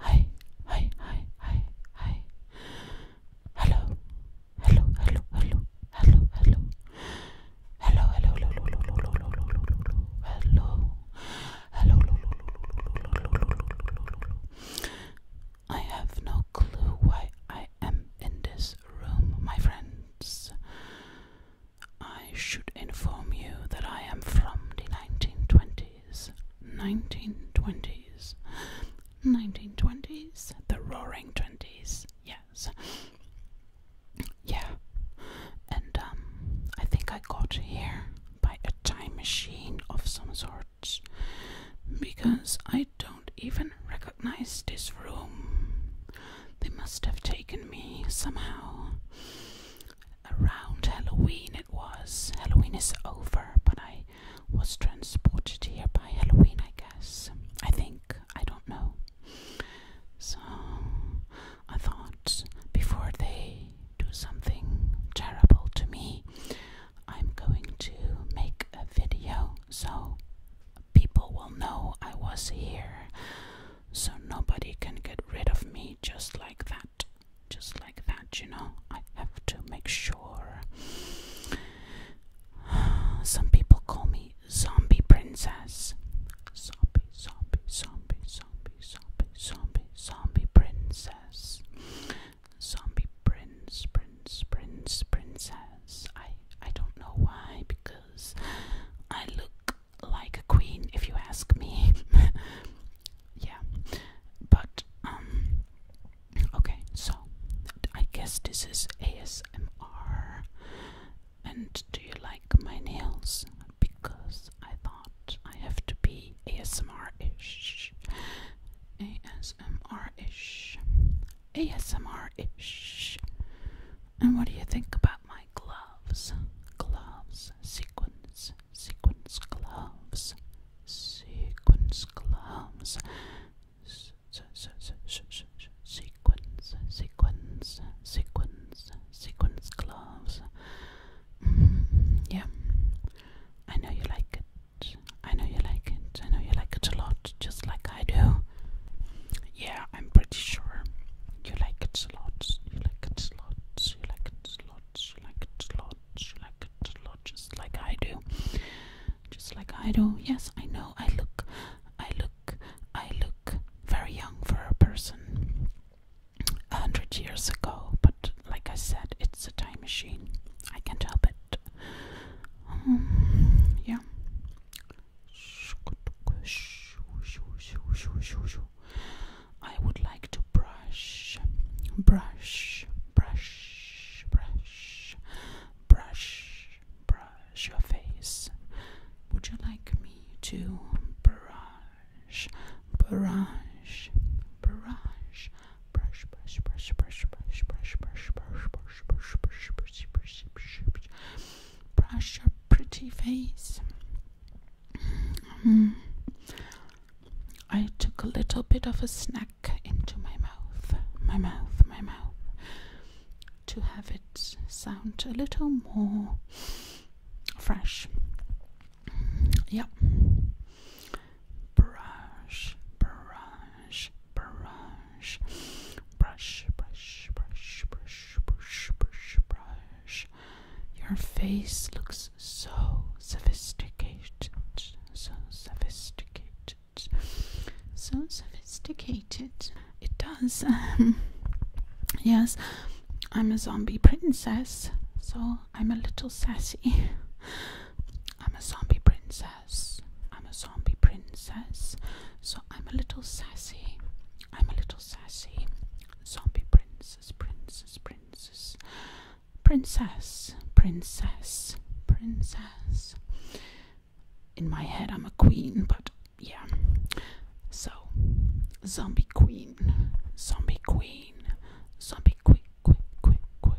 Hi, hi, hi, hi, hi. Hello, hello, hello, hello, hello, hello. Hello, hello, hello, hello, hello, hello, hello, I have no clue why I am in this room, my friends. I should inform you that I am from the 1920 1920s, 1920s, the roaring 20s, yes. Yeah. And um I think I got here by a time machine of some sort because I don't even recognize this room. They must have taken me somehow around Halloween it was. Halloween is over, but I was transported here by Halloween, I guess. I think. I don't know. So I thought before they do something terrible to me, I'm going to make a video so people will know I was here so nobody can get rid of me just like that, just like that, you know. I have to make sure. Some people call me Zombie Princess. Zombie, zombie, zombie, zombie, zombie, zombie, zombie princess. Zombie prince, prince, prince, princess. I I don't know why because I look like a queen, if you ask me. yeah, but um, okay. So I guess this is ASMR. And do you like my nails? Because I thought I have to be ASMR-ish, ASMR-ish, ASMR-ish. And what do you think about my gloves? Gloves, Sequence. Sequence. gloves, Sequence. gloves, Sequence. Sequence. Sequence. sequins, gloves. yeah, I know you like it. I know you like it. I know you like it a lot just like I do. Yeah, I'm pretty sure you like it a lot. You like it a lot. You like it a lot. You like it a lot. You like it a lot, just like I do. Just like I do. Yes, I know. I look, I look, I look very young for a person a hundred years ago. But like I said, it's a time machine. I can't help it. Um, yeah. I would like to brush, brush, brush, brush, brush, brush your face. Would you like me to brush, brush, brush, brush, brush, brush, brush, brush, brush, brush, brush, brush, brush, brush, brush, brush, brush, brush, brush your pretty face. Mm-hmm. I took a little bit of a snack into my mouth, my mouth, my mouth, to have it sound a little more fresh. Yeah. Brush, brush, brush brush, brush, brush, brush, brush, brush, brush, Your face looks so sophisticated, so sophisticated, so sophisticated. It does. Um, yes, I'm a zombie princess, so I'm a little sassy. I'm a zombie princess. I'm a zombie princess. So I'm a little sassy. I'm a little sassy. Zombie princess, princess, princess. Princess, princess, princess. In my head, I'm a queen, but yeah. So, zombie queen, zombie queen, zombie queen, quick, quick, quick,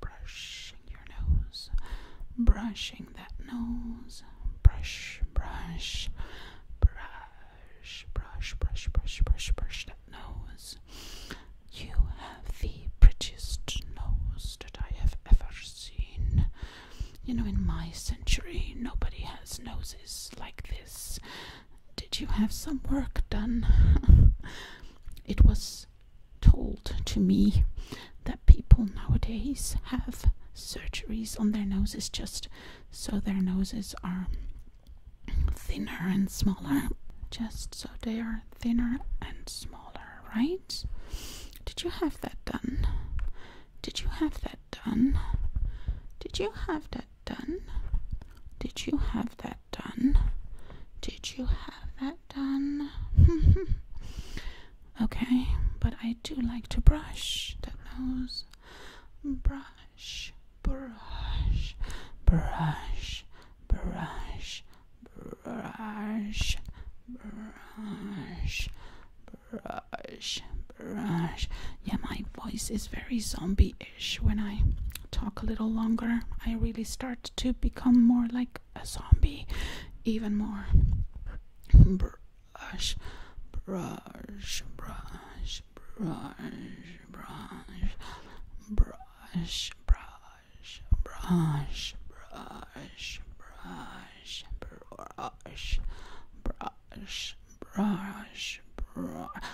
brushing your nose, brushing that nose, brush, brush, brush, brush, brush, brush, brush, brush that nose. You have the prettiest nose that I have ever seen. You know, in my century, nobody has noses like this. Did you have some work done? it was told to me that people nowadays have surgeries on their noses just so their noses are thinner and smaller. Just so they are thinner and smaller, right? Did you have that done? Did you have that done? Did you have that done? Did you have that done? Did you have that? that done. okay, but I do like to brush the nose. Brush, brush, brush, brush, brush, brush, brush, brush. Yeah, my voice is very zombie ish when I talk a little longer. I really start to become more like a zombie, even more. Brush, brush, brush, brush, brush, brush, brush, brush, brush, brush, brush, brush, brush, brush.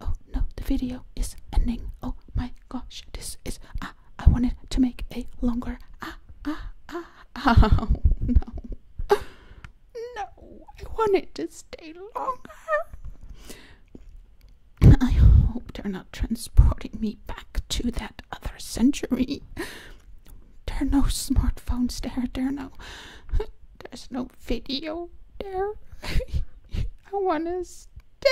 oh no, the video is ending. Oh my gosh, this is ah. I wanted to make a longer ah ah ah Oh, no, no, I wanted to stay longer. I hope they're not transporting me back to that other century. There are no smartphones there. There are no. There's no video there. I want to stay.